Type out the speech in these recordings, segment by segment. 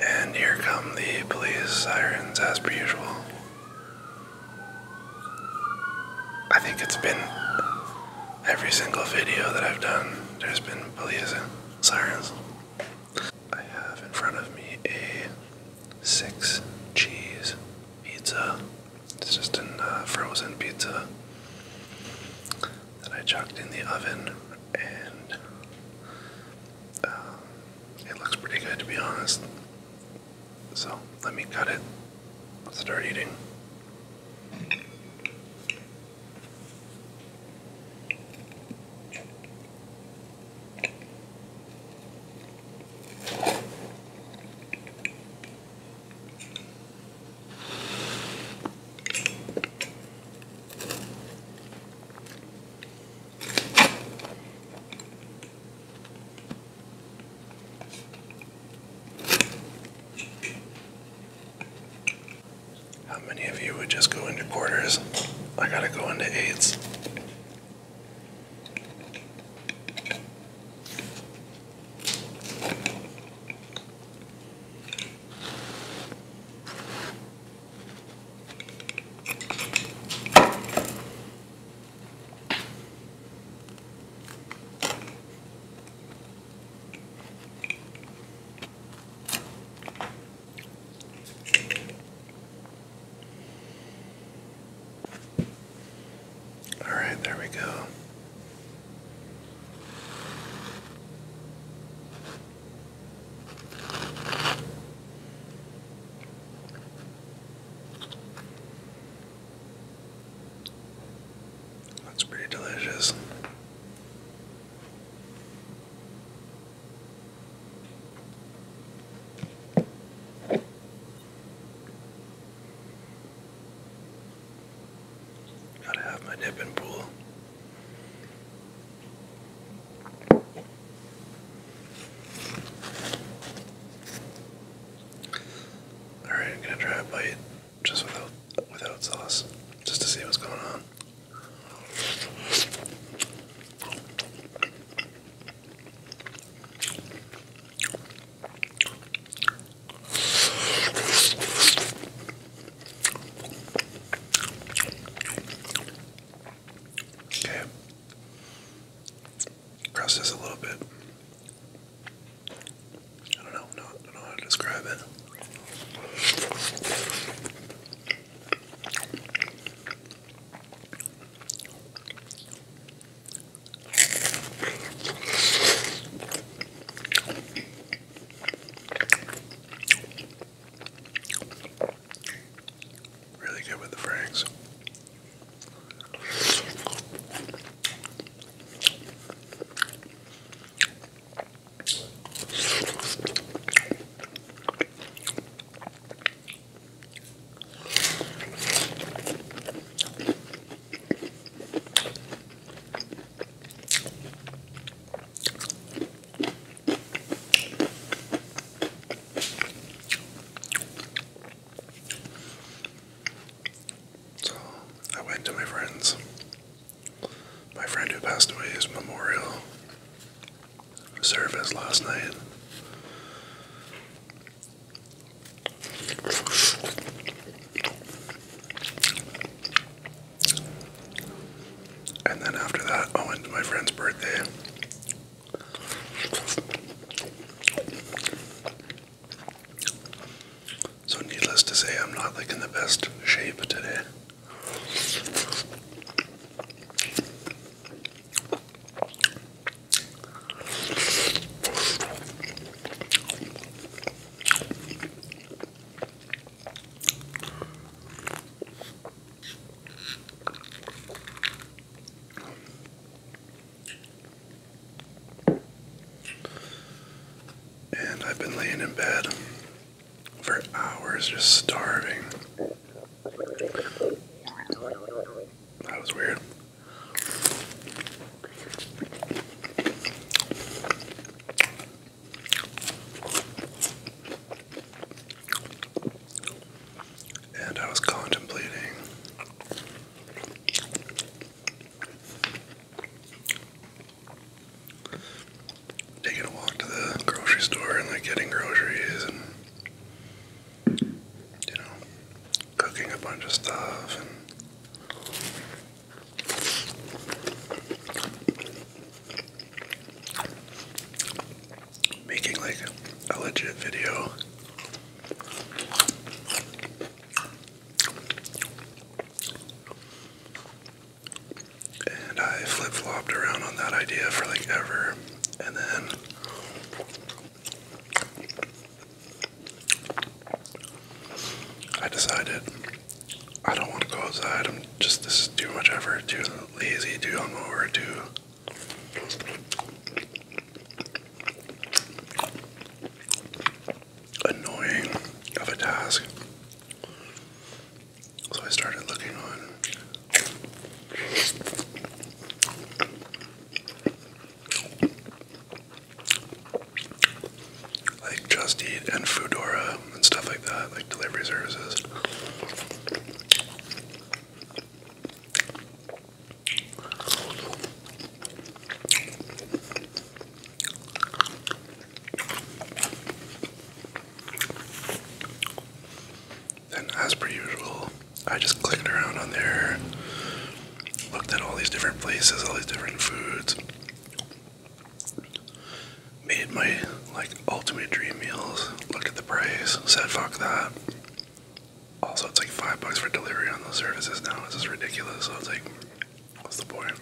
And here come the police sirens as per usual. I think it's been every single video that I've done, there's been police sirens. I have in front of me a six cheese pizza. It's just a uh, frozen pizza that I chucked in the oven and um, it looks pretty good to be honest. So let me cut it. Let's start eating. How many of you would just go into quarters? I gotta go into eights. All right, there we go. That's pretty delicious. Gotta have my nip and pool. All right, I'm gonna try a bite just without without sauce, just to see what's going on. Okay. Crust a little bit. I don't know. No, I don't know how to describe it. Really good with the franks. So I went to my friend's. My friend who passed away is memorial service last night. And then after that, I went to my friend's birthday. So, needless to say, I'm not like in the best shape today. And I've been laying in bed for hours just starving. That was weird. And I was contemplating taking a walk to the grocery store and like getting groceries and you know cooking a bunch of stuff and Making like a legit video. And I flip flopped around on that idea for like ever. And then I decided I don't want to go outside. I'm just this is too much effort, too lazy, too over, too. Annoying of a task. So I started looking on like Just Eat and Foodora and stuff like that, like delivery services. And as per usual, I just clicked around on there, looked at all these different places, all these different foods, made my like ultimate dream meals. Looked at the price, said fuck that. Also, it's like five bucks for delivery on those services now. It's just ridiculous. So it's like, what's the point?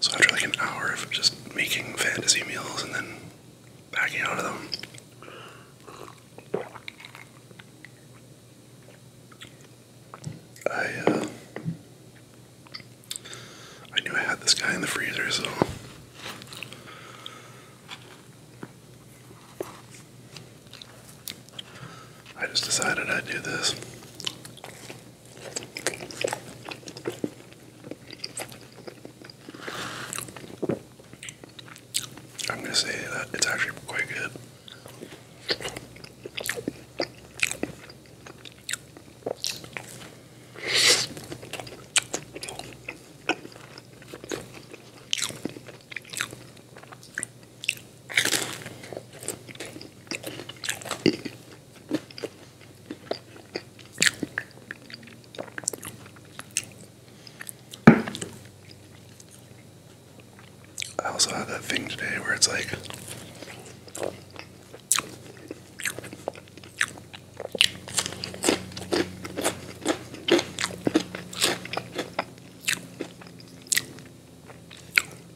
So after like an hour of just making fantasy meals and then backing out of them, I uh, I knew I had this guy in the freezer, so I just decided I'd do this. I'm gonna say that it's actually quite good. I also have that thing today where it's like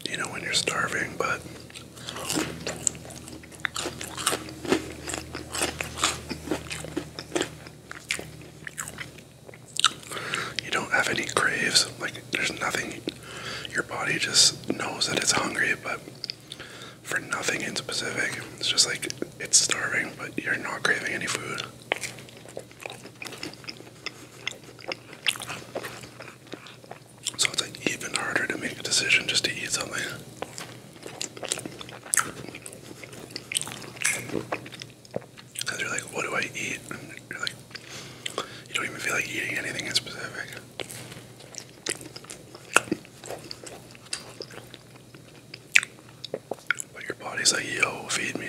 you know when you're starving, but you don't have any craves. Like, there's nothing. Your body just knows that it's hungry, but for nothing in specific. It's just like it's starving, but you're not craving any food. So it's like even harder to make a decision just to eat something they're like, what do I eat? you you don't even feel like eating anything in specific. But your body's like, yo, feed me.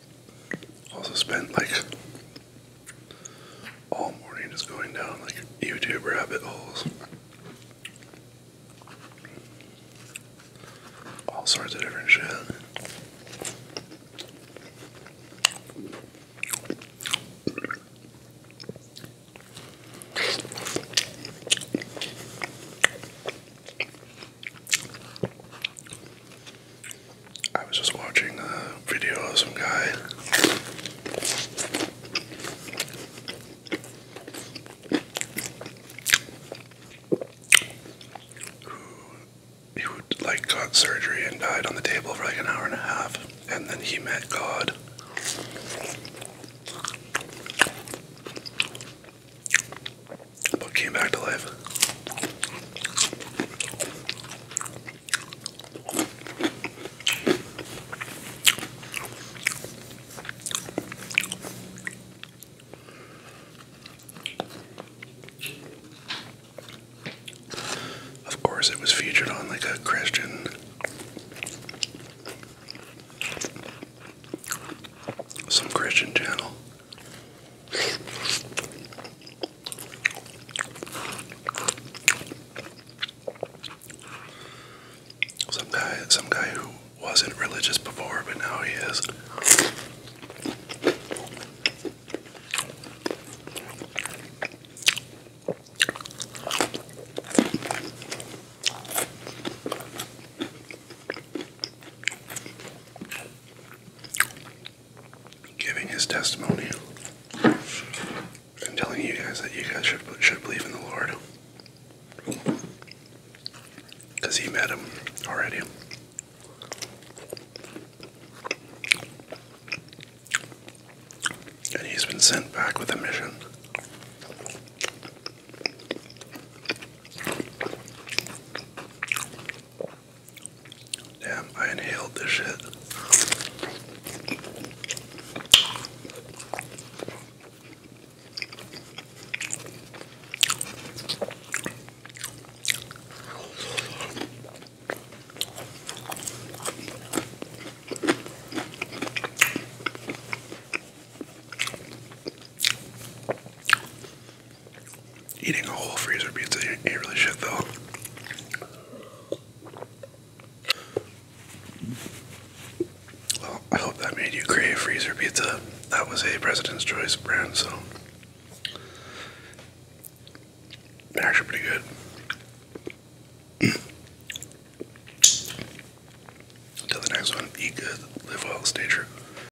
Also spent like all morning just going down like YouTube rabbit holes. All sorts of different shit. I was just watching a video of some guy. Who like got surgery and died on the table for like an hour and a half, and then he met God. But came back to of course, it was featured on like a Christian some Christian channel. Some guy, some guy who wasn't religious before, but now he is giving his testimony and telling you guys that you guys should, should believe in the Lord. Because he met him already. And he's been sent back with a mission. Damn, I inhaled the shit. Eating a whole freezer pizza ain't really shit though. Well, I hope that made you crave freezer pizza. That was a President's Choice brand, so they're actually pretty good. Until the next one, eat good, live well, stay true.